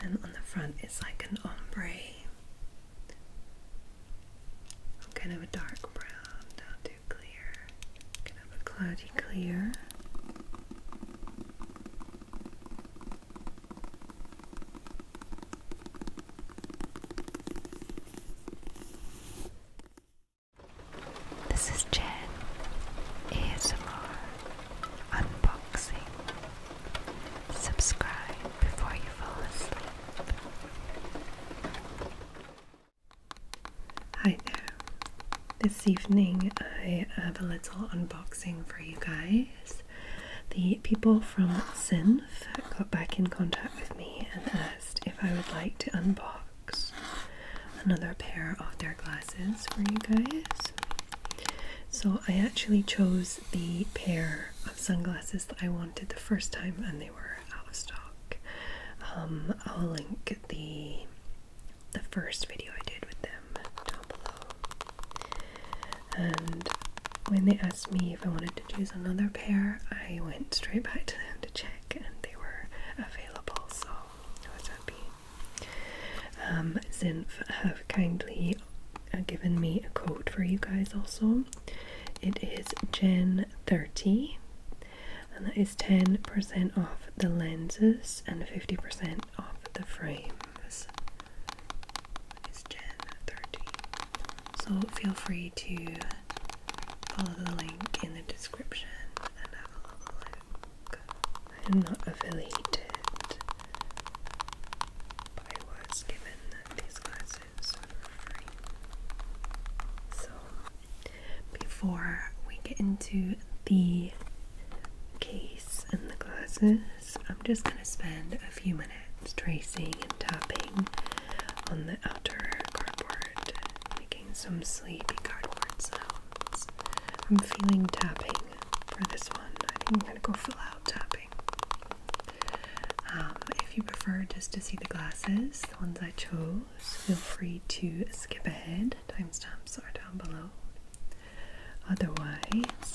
Then on the front, it's like an ombre, kind of a dark brown, not too clear, kind of a cloudy clear. This is Jen ASMR Unboxing. Subscribe before you fall asleep. Hi there. This evening I have a little unboxing for you guys because the people from Synth got back in contact with me and asked if I would like to unbox another pair of their glasses for you guys. So I actually chose the pair of sunglasses that I wanted the first time and they were out of stock. Um, I'll link the the first video I did with them down below. And when they asked me if I wanted to choose another pair, I went straight back to them to check and they were available, so I was happy. Um, Zinf have kindly uh, given me a code for you guys also. It is Gen30 and that is 10% off the lenses and 50% off the frames is Gen 30. So feel free to follow the link in the description and have a look. I'm not affiliated, but I was given these glasses for free. So before we get into the case and the glasses, I'm just going to spend a few minutes tracing and tapping on the outer cardboard, making some sleepy cardboard sounds. I'm feeling tapping for this one. I think I'm going to go fill out tapping. Um, if you prefer just to see the glasses, the ones I chose, feel free to skip ahead. Timestamps are down below. Otherwise,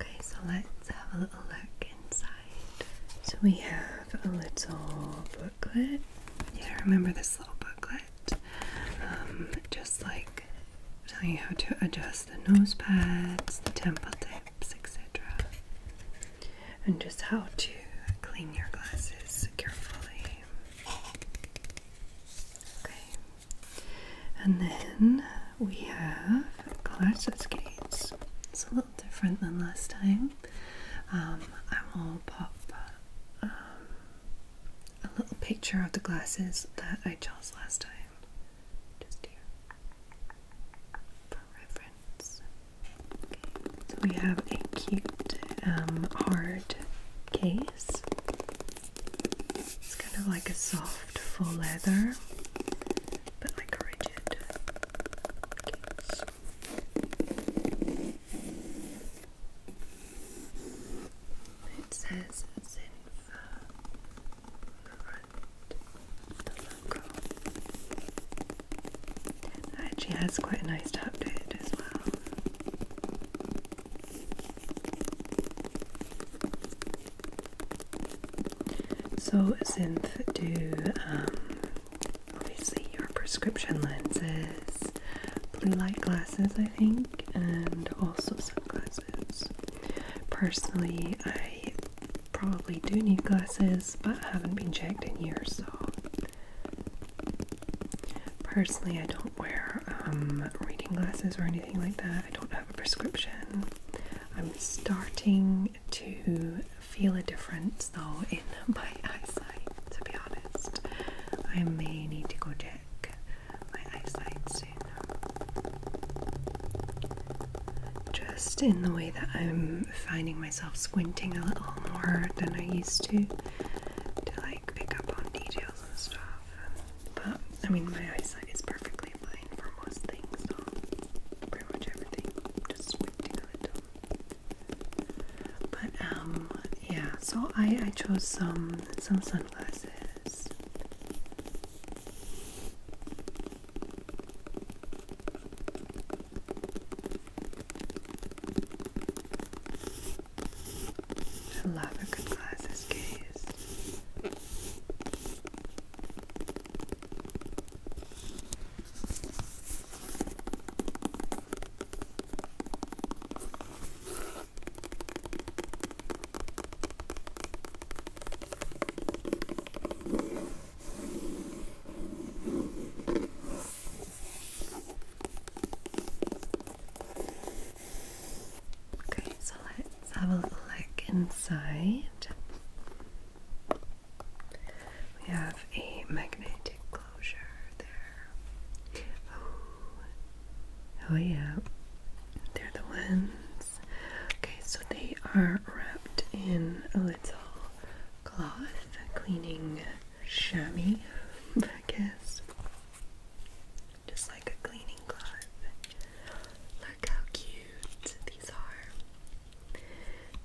Okay, so let's have a little look inside. So we have a little booklet. Yeah, remember this little booklet? Um, just like telling you how to adjust the nose pads, the temple tips, etc. And just how to clean your glasses carefully. Okay. And then we have glasses Gates. It's a little different than last time. Um, I will pop um, a little picture of the glasses that I chose last time. Just here. For reference. Okay. So we have a cute um, hard case it's kind of like a soft full leather, but like rigid It says Zinfa logo. actually has quite a nice tap to it as well. So, Synth do um, obviously your prescription lenses, blue light glasses, I think, and also sunglasses. Personally, I probably do need glasses, but I haven't been checked in years, so Personally, I don't wear um, reading glasses or anything like that. I don't have a prescription. I'm starting to feel a difference though in my eyesight, to be honest. I may need to go check my eyesight soon. Just in the way that I'm finding myself squinting a little more than I used to pick up on details and stuff. But I mean, my eyesight is perfectly fine for most things, pretty much everything. Just waiting But um, yeah. So I I chose some some sunglasses. I love a good glasses case. Okay, so let's have a look inside. We have a magnetic closure there. Oh, oh yeah, they're the ones. Okay, so they are wrapped in a little cloth, cleaning chamois, I guess. Just like a cleaning cloth. Look how cute these are.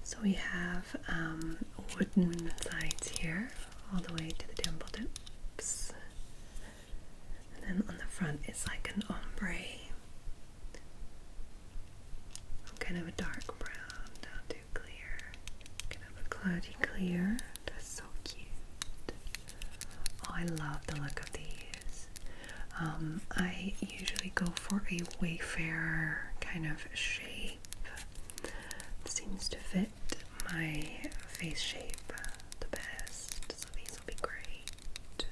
So we have um, wooden sides here, all the way to the dimple tips. And then on the front it's like an ombre. Kind of a dark brown down to clear. Kind of cloudy clear. That's so cute. Oh, I love the look of these. Um, I usually go for a Wayfarer kind of shape. seems to fit my face shape the best, so these will be great.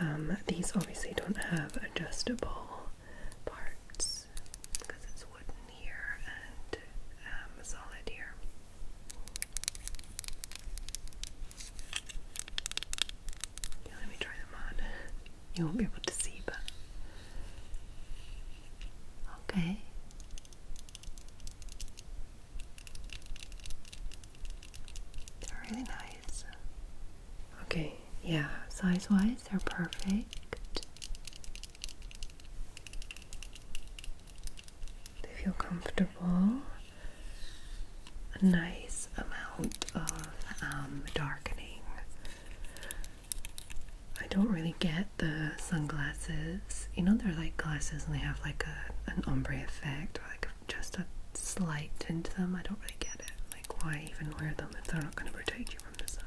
Um, these obviously don't have adjustable parts because it's wooden here and um, solid here. let me try them on. You won't be able to see, but okay. They're really nice. Okay, yeah, size wise, they're perfect. They feel comfortable. A nice amount of um, darkening. I don't really get the sunglasses. You know, they're like glasses and they have like a, an ombre effect or like just a slight tint to them. I don't really get it. Like, why even wear them if they're not going to protect you from the sun?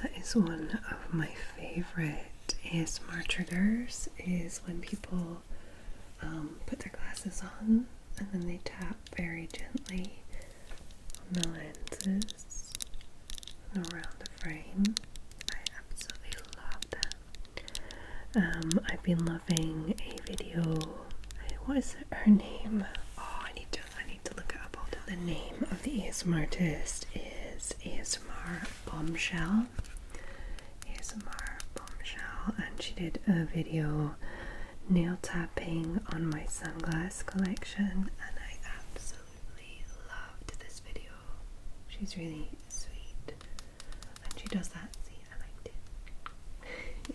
That is one of my favorite ASMR triggers is when people um, put their glasses on and then they tap very gently on the lenses around the frame. I absolutely love that. Um, I've been loving a video. Uh, what is her name? Oh, I need to. I need to look up. The name of the ASMR artist is ASMR Bombshell. ASMR Bombshell, and she did a video nail tapping on my sunglasses collection, and I absolutely loved this video. She's really sweet. And she does that. See, I liked it.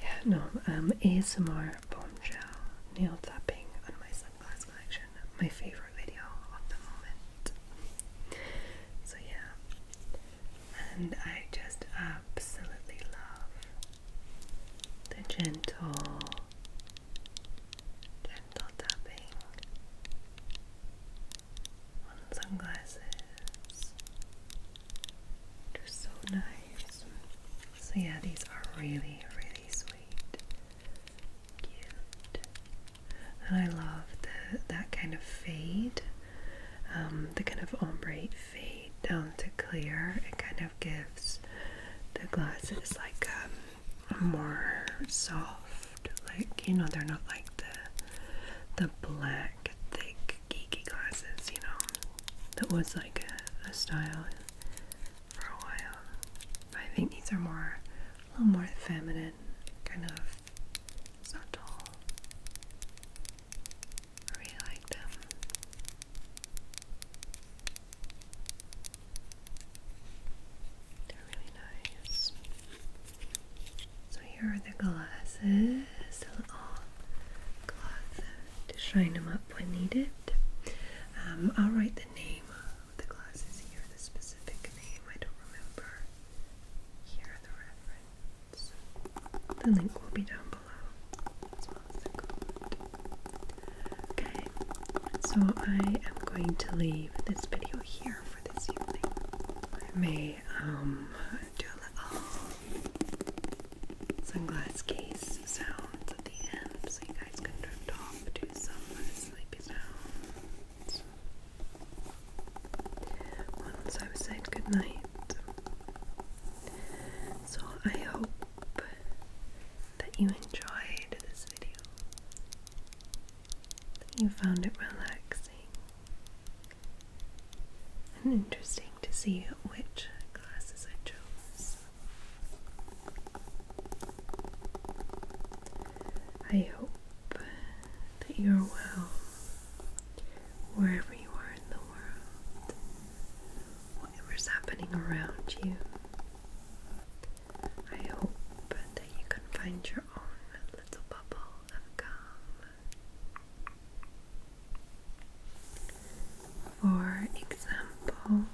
yeah, no, um, ASMR bombshell nail tapping on my sunglasses collection. My favourite video of the moment. So yeah. And I just absolutely love the gentle, gentle tapping sunglasses. They're so nice. So, yeah, these are really, really sweet, and I love the, that kind of fade, um, the kind of ombre fade down to clear. It kind of gives the glasses like um, more soft, like you know, they're not like the the black thick geeky glasses, you know. That was like a, style for a while. I think these are more a little more feminine, kind of subtle. I really like them. They're really nice. So here are the glasses, a little cloth to shine them up when needed. Um, I'll write the name of the glasses here, the specific name, I don't remember. Here are the reference. The link will be down Okay, so I am going to leave this video here for this evening. I may um, do a little sunglass case sounds at the end so you guys can drift off to some sleepy sounds. Once I've said goodnight. So I hope that you enjoyed this video, that you found it relaxing and interesting to see which classes I chose. I hope that you're well wherever you are in the world whatever's happening around you. I hope that you can find your own little bubble of calm. For example,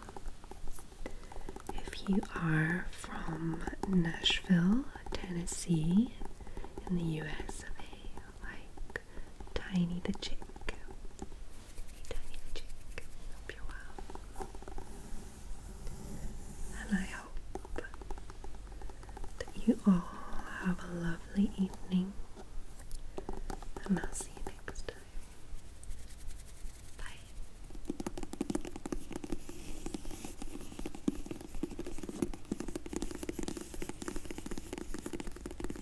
if you are from Nashville, Tennessee, in the U.S.A like Tiny the Chick. Tiny the Chick. Hope you're well. And I hope that you all have a lovely evening. And I'll see you next time. Bye.